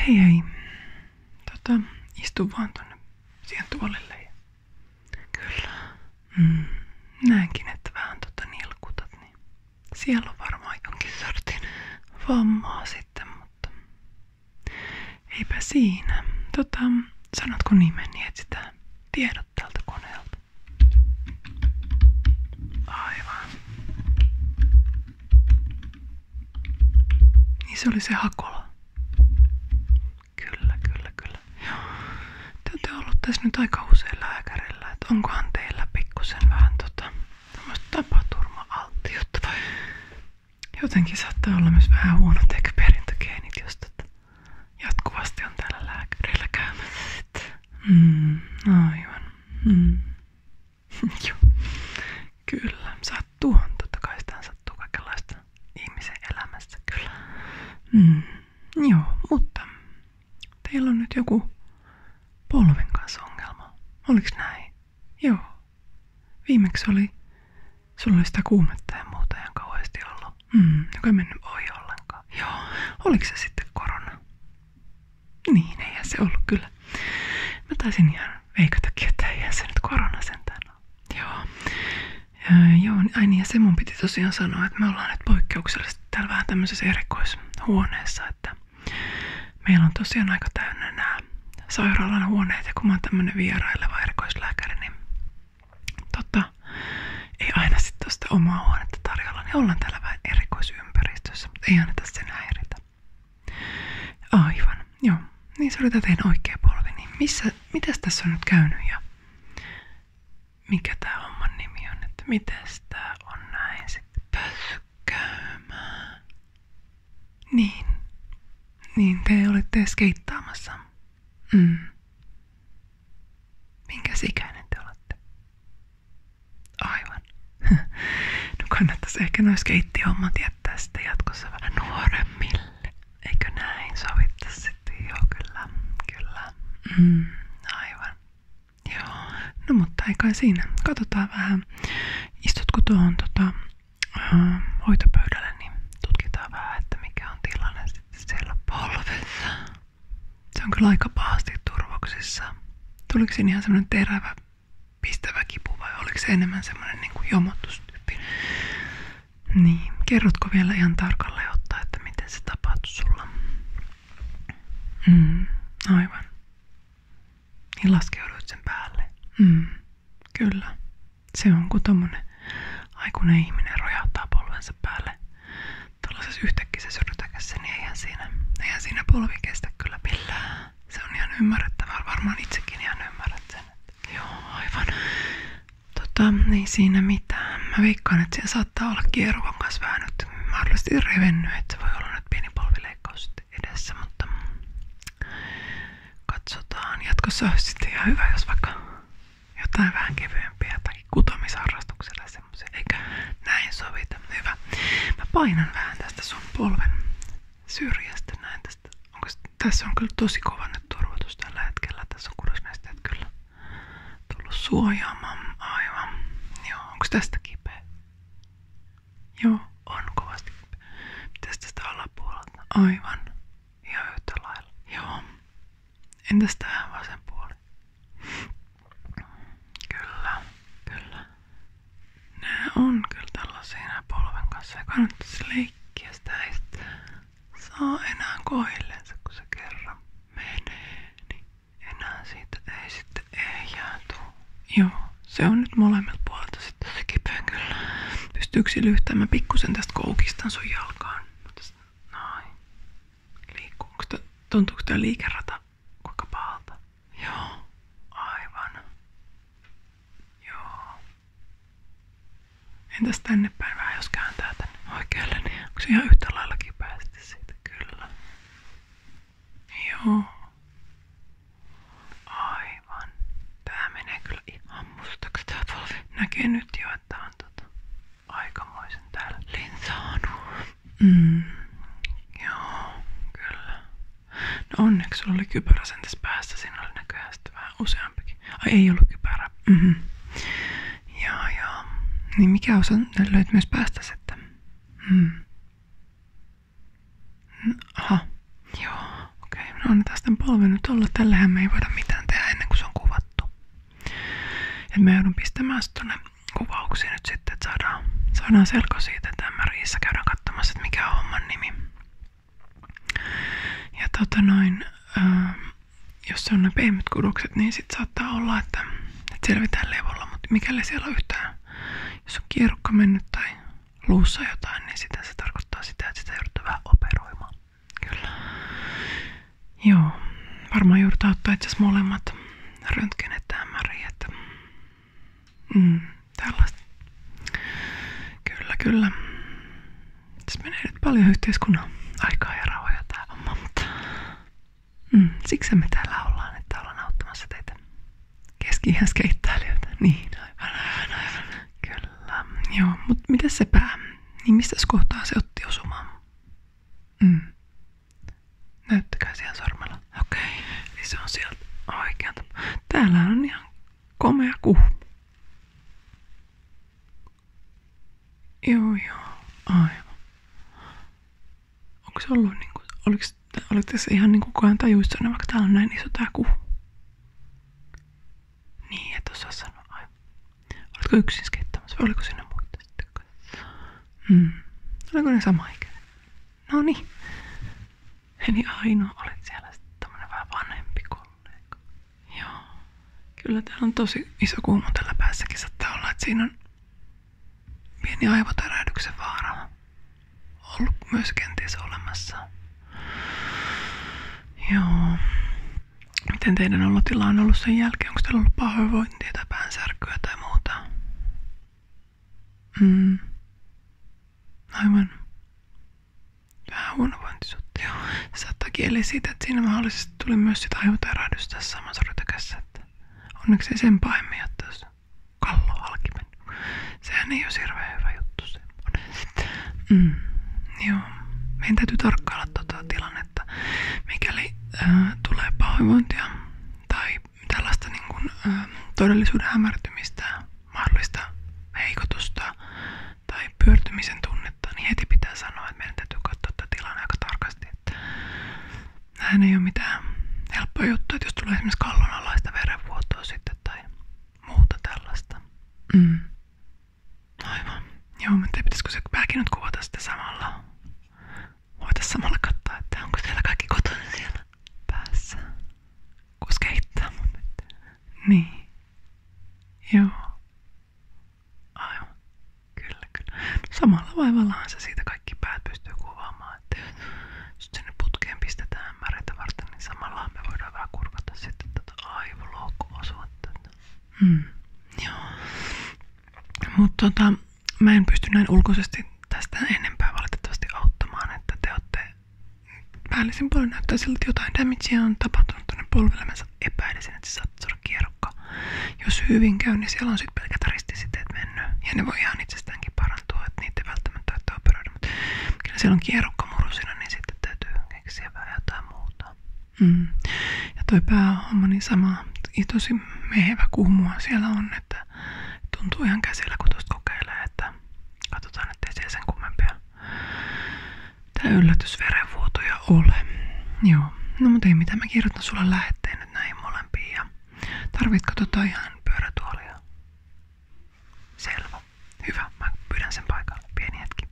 Hei hei. Tota, istu vaan tonne siihen tuolille. Ja... Kyllä. Mm, näenkin, että vähän tota nilkutat, niin siellä on varmaan jonkin sortin vammaa sitten, mutta eipä siinä. Tota, sanotko nimeni, niin etsitään tiedot tältä koneelta. Aivan. Niin se oli se Hakola. Kyllä, kyllä, kyllä. Joo. Te olette ollut tässä nyt aika usein lääkärillä, että onkohan teillä pikkusen vähän tota, tämmöistä tapaturma-alttiutta jotenkin saattaa olla myös vähän huonot ehkä perintögeenit, jos tota mm, aivan. Mm. Joo. Kyllä, sattuuhan totta kai sitä sattuu kaikenlaista ihmisen elämässä kyllä. Mm. Joo, mutta teillä on nyt joku polven kanssa ongelma. Oliks näin? Joo. Viimeksi oli, sulla oli sitä kuumetta ja muuta ihan kauheasti ollut. Mm, joka ei mennyt ohi ollenkaan. Joo. Oliko se sitten korona? Niin, ei, se ollut kyllä. Mä taisin ihan veikon takia, että eihän se nyt korona sentään ole. Joo. Ja, joo, niin- ai niin, ja se mun piti tosiaan sanoa, että me ollaan nyt poikkeuksellisesti täällä vähän tämmöisessä erikoishuoneessa, että meillä on tosiaan aika täynnä nämä sairaalan huoneet, ja kun mä oon tämmönen vieraileva erikoislääkäri, niin tota, ei aina sitten tuosta omaa huonetta tarjolla, niin ollaan täällä vähän erikois ympäristössä, mutta ei anneta sen häiritä. Aivan, joo. Niin se oli teidän oikea polvi. Niin missä, mitäs tässä on nyt käynyt ja mikä tämä homman nimi on? Että mitäs tää on näin sitten pöskäymään? Niin. Niin te olette skeittaamassa. Mm. Minkäs ikäinen te olette? Aivan. No kannattaisi ehkä noissa keittiöhommat jättää sitten jatkossa vähän nuoremmille. Eikö näin sovittaa sitten? Joo, kyllä. Kyllä. Mm, aivan. Joo. No mutta aika siinä. Katsotaan vähän. Istutko tuohon tota, uh, hoitopöydälle, niin tutkitaan vähän, että mikä on tilanne sitten siellä polvessa. Se on kyllä aika pahasti turvoksissa. Tuliko siinä ihan semmoinen terävä, pistävä kipu vai oliko se enemmän semmoinen niin kuin jomotustyyppi? Niin, kerrotko vielä ihan tarkalleen ottaa, että miten se tapahtui sulla? Mm, aivan. Niin laskeuduit sen päälle. Mm, kyllä. Se on kuin tommonen aikuinen ihminen rojahtaa polvensa päälle, Tällaisessa yhtäkkisessä rytäkässä, niin eihän siinä, eihän siinä polvi kestä kyllä millään. Se on ihan ymmärrettävää, varmaan itsekin ihan ymmärrät sen. Että. Joo, aivan. Tota, niin siinä mitään. Mä veikkaan, että siellä saattaa olla kieruvan kanssa vähän nyt mahdollisesti revennyt, että se voi olla nyt pieni polvileikkaus edessä, mutta katsotaan. Jatkossa olisi sitten ihan hyvä, jos vaikka jotain vähän kevyempiä tai jollakin kutomisharrastuksella semmoisen, eikä näin sovita. Hyvä. Mä painan vähän tästä sun polven syrjästä näin tästä. Onko, tässä on kyllä tosi kova nyt turvatus tällä hetkellä. Tässä on kudosnesteet kyllä tullut suojaamaan. Aivan. Joo, onko tästä kipeä? Joo, on kovasti kipeä. Mitäs tästä alapuolelta? Aivan. Ihan yhtä lailla. Joo. Entäs tähän vasen puoli? Kyllä, kyllä. Nää on kyllä tällaisia kanssa. Ei kannattaisi leikkiä enää koilleensa, kun se Niin enää siitä ei ei jäätu. Joo, se on nyt molemmilta puolilta sitten se kipeä kyllä. Pystyykö lyhtämään pikkusen tästä koukistan sun jalkaan? Noin. Liikkuuko tuntuuko tämä liikerata kuinka pahalta? Joo, aivan. Joo. Entäs tänne päin vähän jos kääntää tänne oikealle, niin onko se ihan yhtä lailla kipeä siitä? Kyllä. Joo. Aivan. Tää menee kyllä ihan mustaksi tää polvi. Näkee nyt jo, että on tota aikamoisen tällin saanut. Mm. Joo, kyllä. No onneksi sulla oli kypärä sen tässä päässä. oli näköjään sitten Ai ei ollut kypärä. Mm-hmm. Joo, joo. Niin mikä osa löyt päästä sitten? Mm. Aha. Joo. Okei, okay. no annetaan sitten polven olla. Tällähän me ei voida mitään tehdä ennen kuin se on kuvattu. Et mä joudun pistämään se tonne kuvauksia nyt sitten, että saadaan, saadaan selko siitä, että MRIissä käydään katsomassa, että mikä on homman nimi. Ja tota noin, äh, jos se on ne pehmyt kudokset, niin sit saattaa olla, että, että selvitään levolla, mutta mikäli siellä on yhtään, jos on kierukka mennyt tai luussa jotain, niin sitä se tarkoittaa sitä, että sitä joudutaan vähän operoimaan. Kyllä. Joo, varmaan joudutaan ottaa jos molemmat röntgenet ja MRI, että mm, tällaista. Kyllä, kyllä. Tässä menee nyt paljon yhteiskunnan aikaa ja rahoja tää homma, mutta mm, siksi me täällä ollaan, että ollaan auttamassa teitä keski Niin, aivan, aivan, aivan. Kyllä. Joo, mutta miten se pää? Niin mistä kohtaa se otti osumaan? Mm. Näyttäkää siellä sormella. Okei, okay. niin se on sieltä oikealta. Täällä on ihan komea kuhu. Joo joo, aivan. Onko se ollut niinku, oliko, oliko tässä ihan niinku kukaan tajuissaan, vaikka täällä on näin iso tää kuhu. Niin, et osaa sanoa aivan. Oletko yksin skeittämässä vai oliko sinne muita sitten? Mm. Oliko ne sama ikäinen? No niin. Eli ainoa olet siellä sitten tämmönen vähän vanhempi kollega. Joo. Kyllä täällä on tosi iso kuuma tällä päässäkin saattaa olla, että siinä on pieni aivotärähdyksen vaara ollut myös kenties olemassa. Joo. Miten teidän olotila on ollut sen jälkeen? Onko teillä ollut pahoinvointia tai päänsärkyä tai muuta? Mm. Aivan. Vähän huonovointisuutta, joo. Se saattaa kieliä siitä, että siinä mahdollisesti tuli myös sitä aivotärahdystä tässä samassa rytäkässä. Että onneksi ei sen pahemmin jättäisi kallo halki mennyt. Sehän ei ole hirveän hyvä juttu semmoinen. Mm, joo. Meidän täytyy tarkkailla tuota tilannetta. Mikäli äh, tulee pahoinvointia tai tällaista niin kuin, äh, todellisuuden hämärtymistä, mahdollista heikotusta tai pyörtymisen tunnetta, niin heti pitää sanoa, että meidän täytyy katsoa tätä tilanne aika tarkasti. Että näin ei ole mitään helppoa juttua, että jos tulee esimerkiksi kallonalaista verenvuotoa sitten tai muuta tällaista. Mm. Aivan. Joo, mä en tiedä, pitäisikö se pääkin nyt kuvata sitä samalla. onko siellä kaikki kotona siellä päässä. Kus keittää mun Niin. Joo. Aivan. Kyllä, Samalla vaivallahan se siitä kaikki päät Että jos sinne pistetään märeitä varten, niin samalla me voidaan vähän sitten tätä aivolohko-osuutta. Mm. Joo. Mutta tota, mä en pysty näin ulkoisesti tästä enempää valitettavasti auttamaan, että te olette päällisin puolin näyttää siltä, että jotain damagea on tapahtunut tuonne polvelle. Mä epäilisin, että se saattaa saada kierrokka. Jos hyvin käy, niin siellä on sitten pelkät ristisiteet mennyt. Ja ne voi ihan itsestäänkin parantua, että niitä ei välttämättä tarvitse operoida. Mutta kyllä siellä on kierrokkamuru siinä, niin sitten täytyy keksiä vähän jotain muuta. Mm. Ja toi päähomma niin sama, tosi mehevä kuhmua siellä on, että tuntuu ihan käsillä kun tuosta kokeilee, että katsotaan ettei siellä sen kummempia tää yllätysverenvuotoja ole. Joo, no mutta ei mitään, mä kirjoitan sulle lähetteen nyt näihin molempiin ja tarvitko tota ihan pyörätuolia? Selvä. Hyvä, mä pyydän sen paikalle. Pieni hetki.